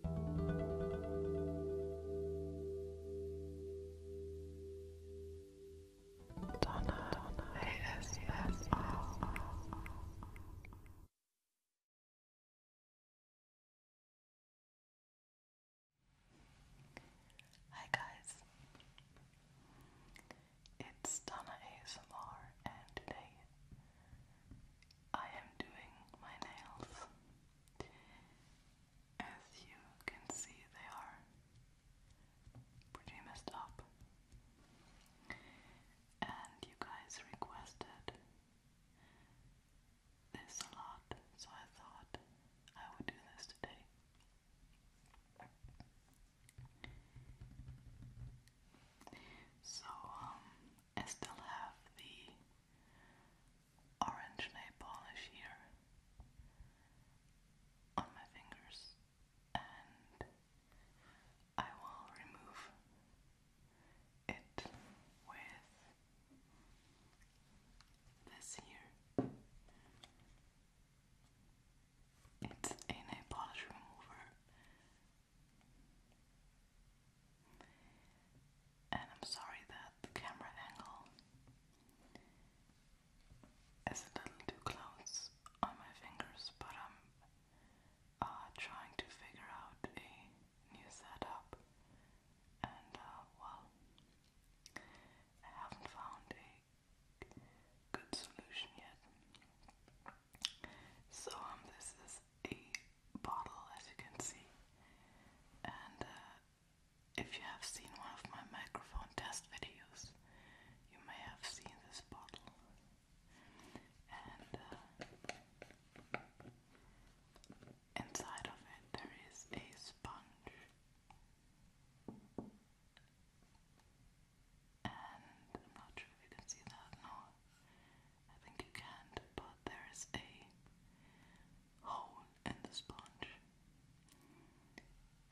Donna, Donna, yes, yes, Hi guys, it's Donna ASMR, and today I am doing my nails. As you can see, they are pretty messed up. And you guys requested this a lot, so I thought I would do this today. So, um, I still have the orange nail polish here on my fingers, and I will remove it with this here. It's a nail polish remover. And I'm sorry that the camera angle is a little too close on my fingers, but I'm uh, trying to figure out a new setup, and uh, well, I haven't found a good solution yet. So um, this is a bottle as you can see. And uh, if you have seen one of my microphone test videos, you may have seen this bottle. And uh, inside of it, there is a sponge. And I'm not sure if you can see that, no. I think you can but there is a hole in the sponge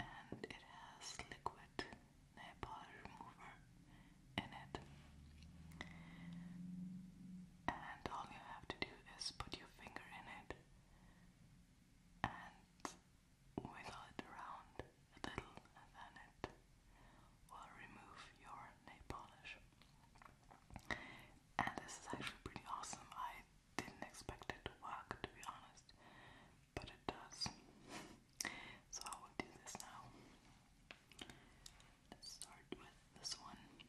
and it has liquid nail polish remover in it. And all you have to do is put your finger in it and wiggle it around a little, and then it will remove your nail polish and this is actually pretty awesome. I didn't expect it to work, to be honest, but it does. So I will do this now. Let's start with this one. Okay.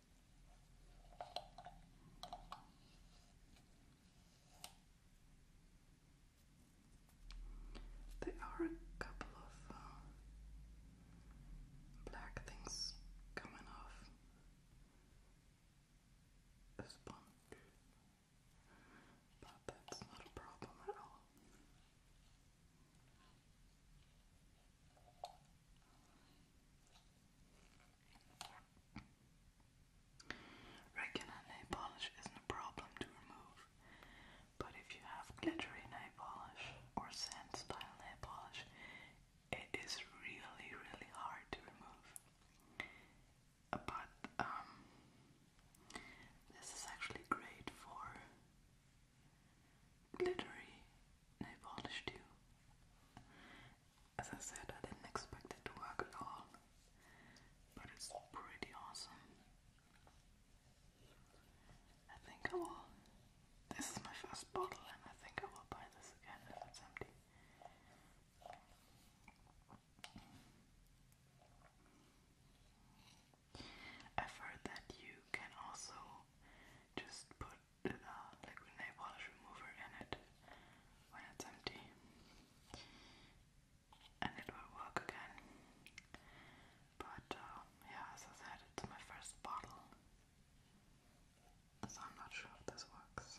There are a couple of uh, black things coming off the sponge, but that's not a problem at all. Regular nail polish isn't a problem to remove, but if you have glittery nail polish or sand style nail polish, it is really, really hard to remove. But um, this is actually great for glittery nail polish too. As I said, I didn't expect it to work at all, but it's pretty awesome. I think I will. This is my first bottle, and I think I will buy this again if it's empty. I've heard that you can also just put uh, nail polish remover in it when it's empty, and it will work again. But um, yeah, as I said, it's my first bottle, so I'm not sure if this works.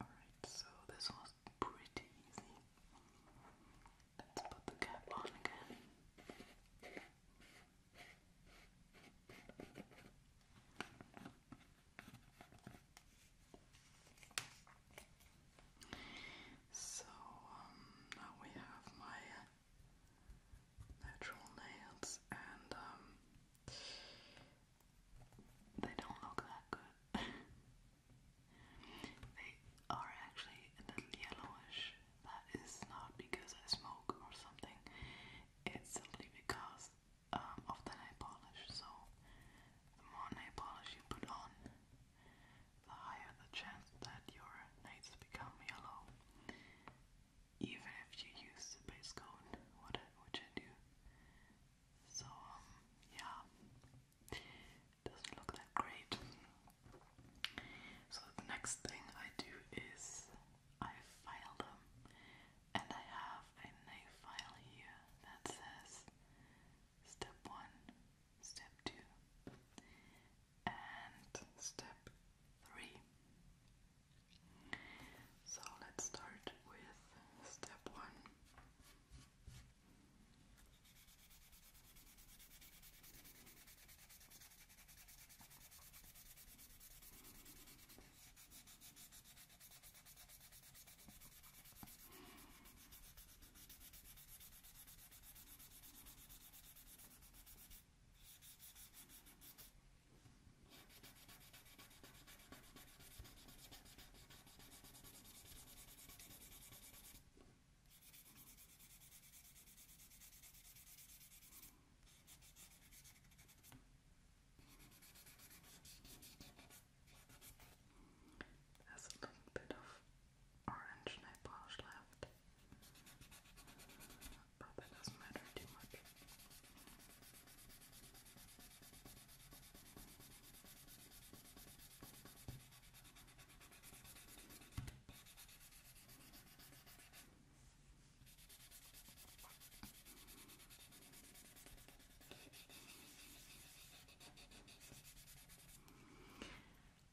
Alright, so this was pretty easy. Let's put the cap on again. So um, now we have my uh, natural nails, and um, they don't look that good. they are actually a little yellowish. That is not because I smoke or something, it's simply because um, of the nail polish. So, the more nail polish you put on, the higher the chance that your nails become yellow even if you use the base coat, what which I do. So, um, yeah, doesn't look that great. So the next thing I do is I file them, and I have a knife file here that says step one, step two, and step three. So let's start with step one. Has a little bit of orange nail polish left. But that doesn't matter too much.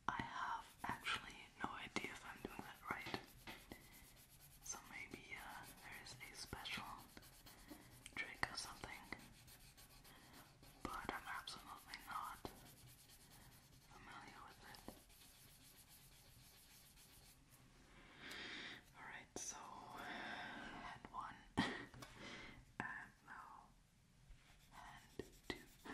I have actually no idea if I'm doing that right. So maybe uh, there is a special trick or something, but I'm absolutely not familiar with it. Alright, so hand one, and now hand two.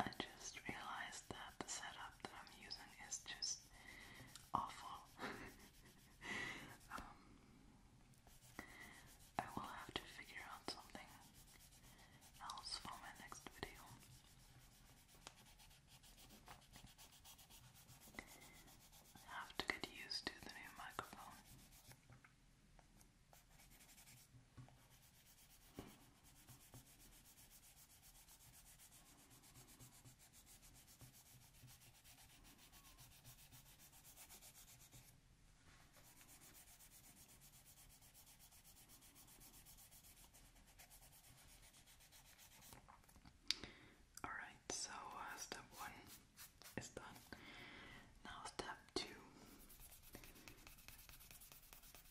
I just realized that the setup that I'm using is just awful. Um, I will have to figure out something else for my next video. I have to get used to the new microphone. Alright, so uh, step one is done. Now, step two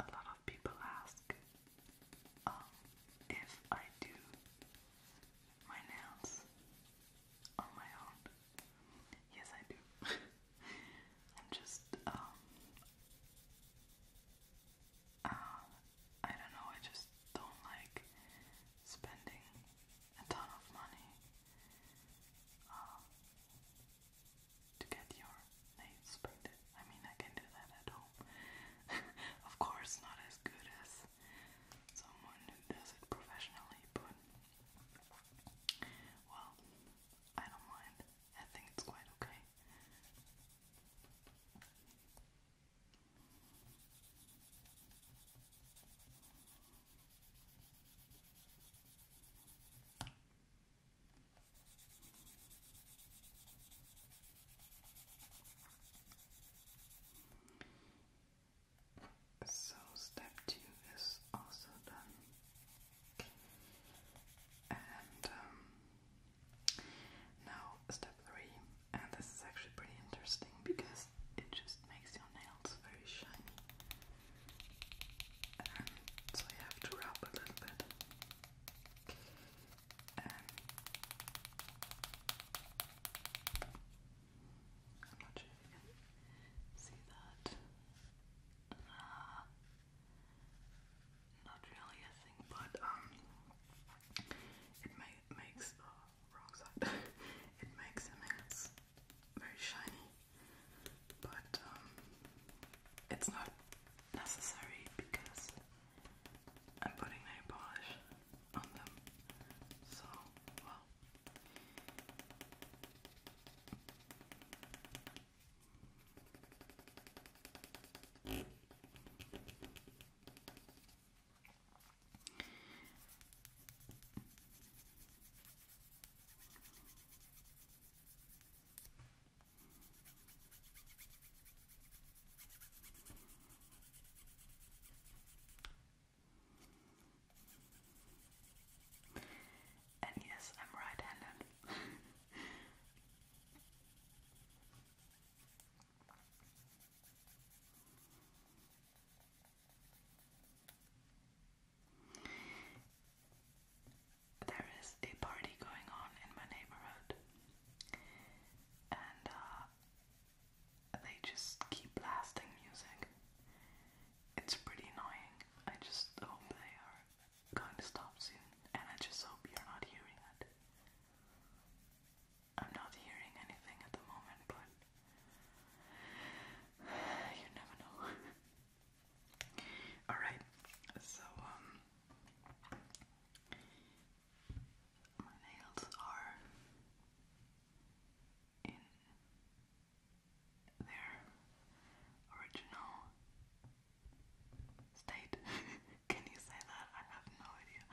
A lot of people ask um, if I do my nails on my own. Yes, I do. I'm just, um, uh, I don't know, I just don't like spending a ton of money um, to get your nails painted. I mean, I can do that at home. of course, not as good as someone who does it professionally, but well, I don't mind. I think it's quite Okay. So, step two is also done, and um, now step three. And this is actually pretty interesting because it just makes your nails very shiny. Um, so you have to rub a little bit. Um, I'm not sure if you can see that. not really a thing, but um, oh, it makes the wrong side. it makes the nails very shiny but um, it's not necessary because I'm putting nail polish on them. So, well. And yes, I'm right handed there is a party going on in my neighborhood, and uh, they just keep blasting music. It's pretty annoying. I just hope they are going to stop soon, and I just hope you're not hearing it. I'm not hearing anything at the moment, but you never know. Alright, so, um, my nails are in their original state. Can you say that? I have no idea.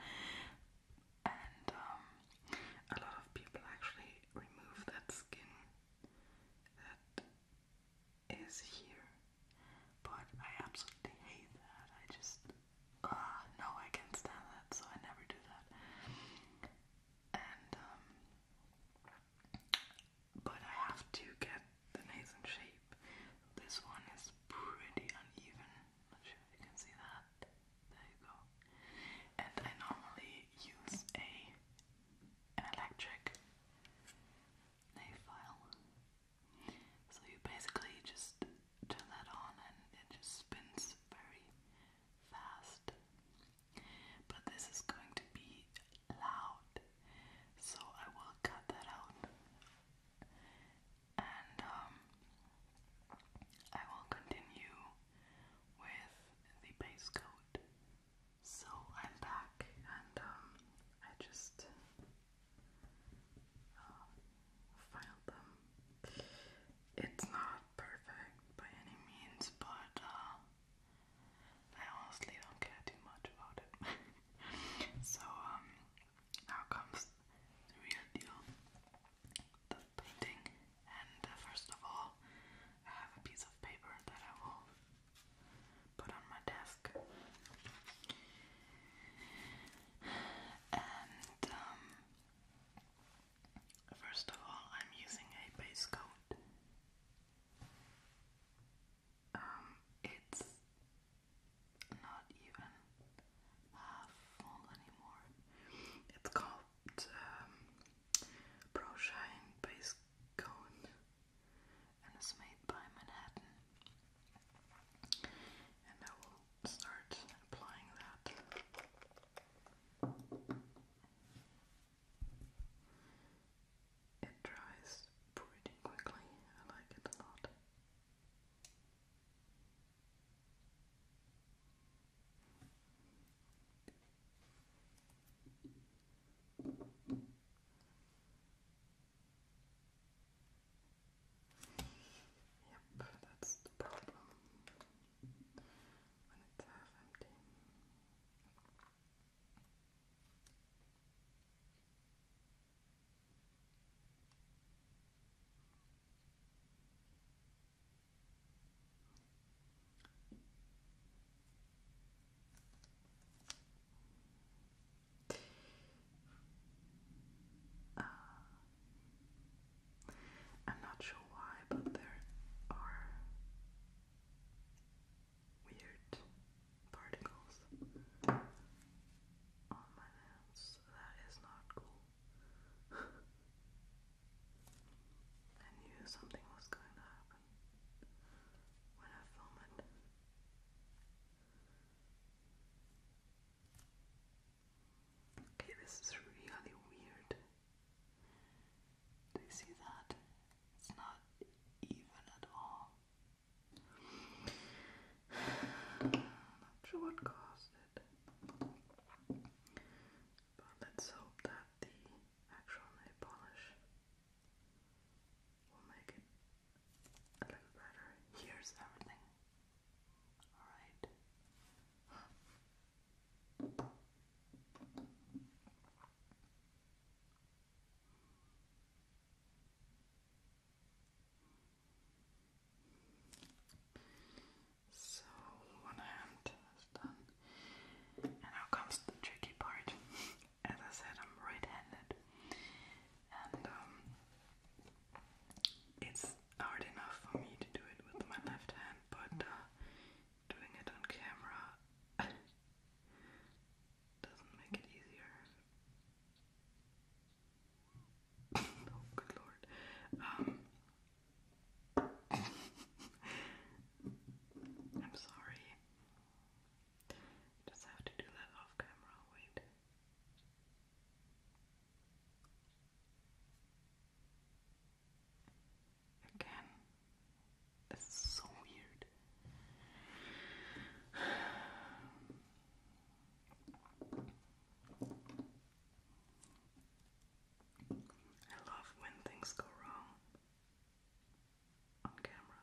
And, um, a lot of people actually remove that skin that is here, but I absolutely hate that. I just, ah, no, I can't stand that, so I never do that. And, um, but I have to get the nails in shape. This one is pretty uneven. Not sure if you can see that. There you go. And I normally use a an electric no file. So you basically just turn that on and it just spins very fast. But this is going to be loud, so I will cut that out. And um, I will continue with the base coat. So I'm back and um, I just uh, filed them. It's not perfect by any means, but uh, I honestly don't care too much about it. so um, now comes the real deal, the painting. And uh, first of all, I have a piece of paper that I will put on my desk. And um, first of all, I'm using a base coat. Um, it's not even half full anymore. It's called um, Pro Shine Base Coat and it's made by Manhattan. And I will start applying that. It dries pretty quickly, I like it a lot. Yep, that's the problem when it's half empty. Okay. Uh, I'm not sure why, but there are weird particles on my hands. That is not cool. I knew something was going to happen when I film it. Okay, this is really weird. Do you see that? It's not even at all. Not sure what caused it. But let's hope that the actual nail polish We'll make it a little better. Here's everything. Alright. So one hand is done. And now comes the tricky part. as I said, I'm right-handed, and um, it's hard enough for me to do it with my left hand, but uh, doing it on camera doesn't make it easier. oh, good lord. Um, I'm sorry. Just have to do that off camera, wait. Again, this so weird. I love when things go wrong on camera.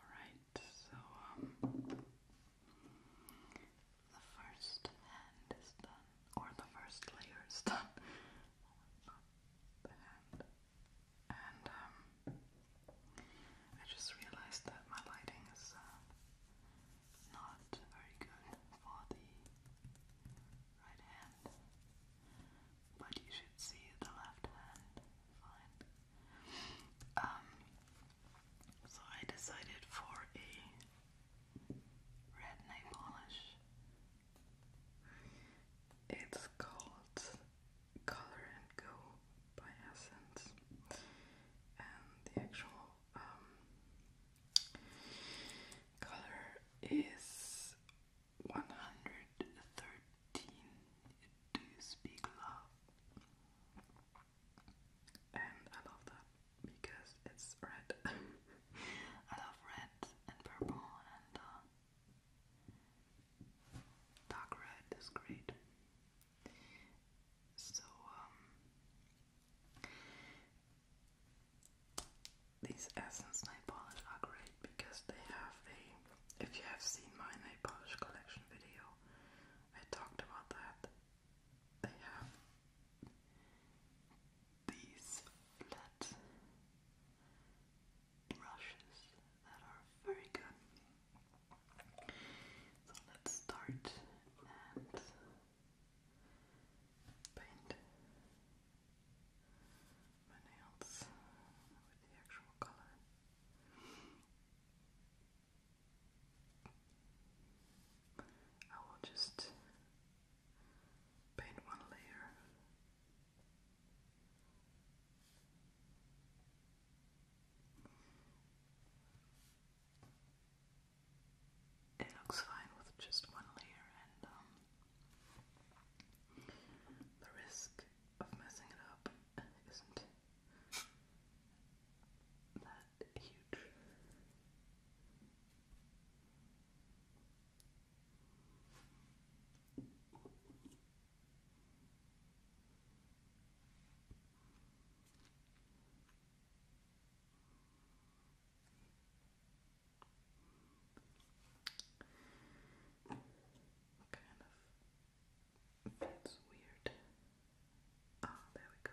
Alright, so um, the first hand is done, or the first layer is done. And um, I just realized that my lighting is uh, not very good for the right hand but you should see the left hand um, so I decided for a red nail polish. It's called Color and Go by Essence, and the actual um, color is 113 do you speak love and I love that because it's red I love red and purple and uh, dark red is great so um, these Essence nail polish are great because they have a. If you have seen my nail polish collection video, I talked about that. They have these flat brushes that are very good. So let's start and paint my nails with the actual color. I will just paint one layer. It looks fine with just one layer, and um, the risk of messing it up isn't that huge. Kind of fits weird. Oh, there we go.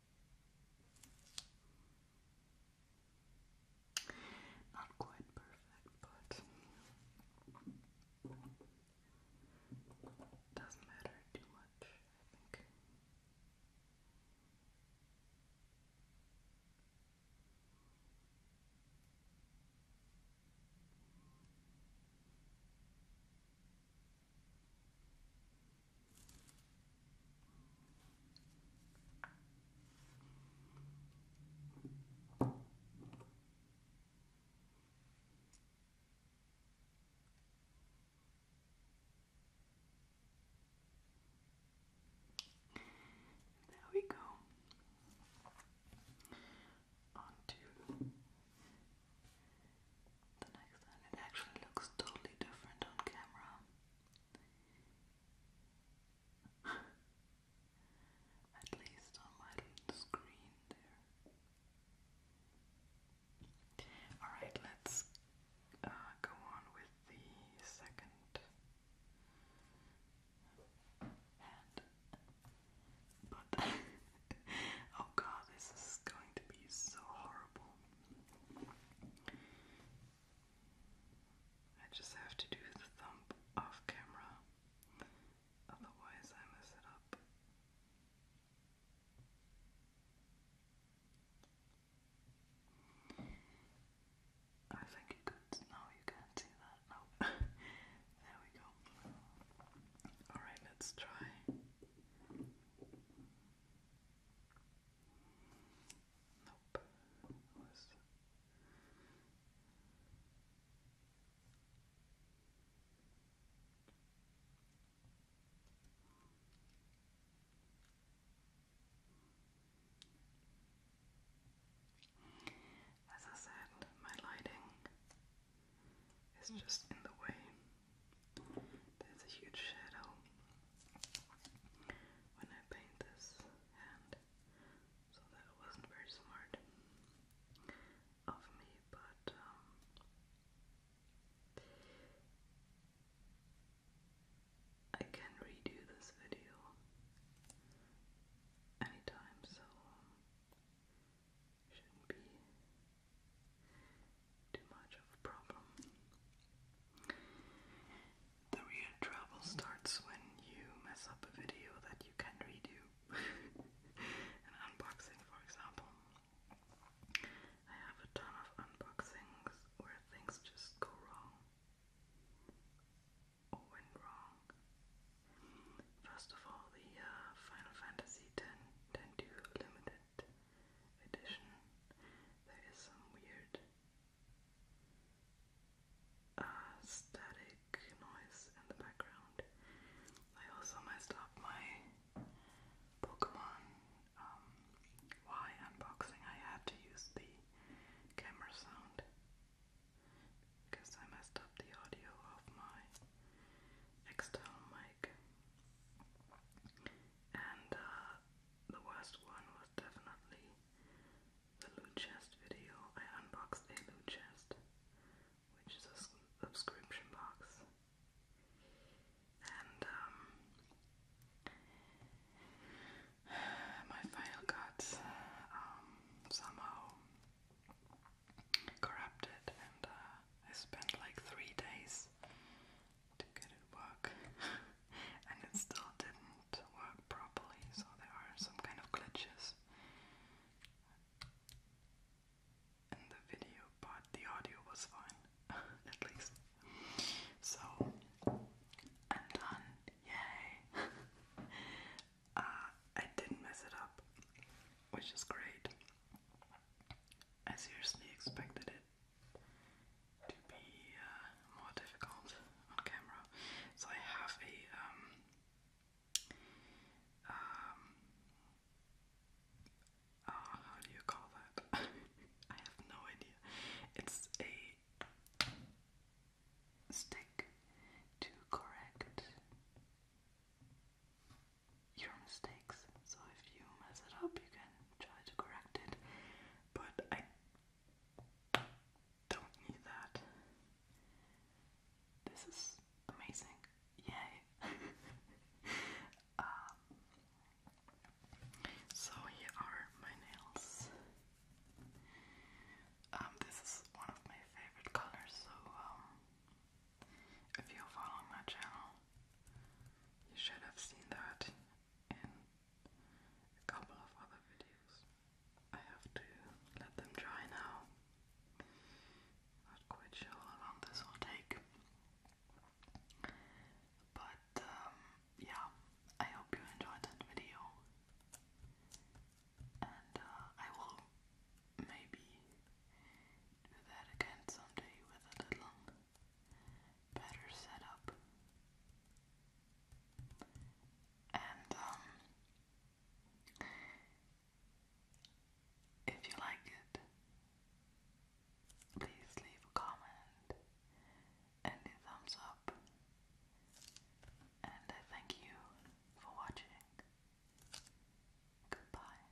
Not quite perfect, but doesn't matter too much, I think. There we go. On the next one. It actually looks totally different on camera. At least on my screen there. Alright, let's uh, go on with the second hand. But, oh god, this is going to be so horrible. I just have to do the thump off camera, otherwise, I mess it up. I think you could. No, you can't see that. No. there we go. Alright, let's try. Nope. Was... As I said, my lighting is just in the way. There's a huge shadow when I paint this hand, so that wasn't very smart of me, but um, I can redo this video anytime, so um, shouldn't be too much of a problem. The real trouble starts when you mess up a video that you can redo. An unboxing, for example. I have a ton of unboxings where things just go wrong. Or went wrong. First of all, the uh, Final Fantasy X, Limited Edition. There is some weird static noise in the background. I also messed up my Pokemon um, Y unboxing. I had to use the camera sound because I messed up the audio of my external mic. And uh, the worst one was definitely the loot chest video, I unboxed a loot chest, which is a subscription box, and um, my file got um, somehow corrupted, and uh, I spent like three days to get it work and it still didn't work properly so there are some kind of glitches in the video but the audio was fine at least so I'm done yay uh, I didn't mess it up which is great I seriously expected it to be uh, more difficult on camera. So I have a um, um, oh, how do you call that? I have no idea. It's a stick to correct your mistakes. So if you mess it up, you can try to correct it. But I don't need that. This is amazing. Yay! Um, so here are my nails. Um, this is one of my favorite colors, so um, if you're following my channel, you should have seen that a couple of other videos. I have to let them dry now. Not quite sure how long this will take. But um, yeah, I hope you enjoyed that video. And uh, I will maybe do that again someday with a little better setup. And um, if you like it, please leave a comment and a thumbs up. And I thank you for watching. Goodbye.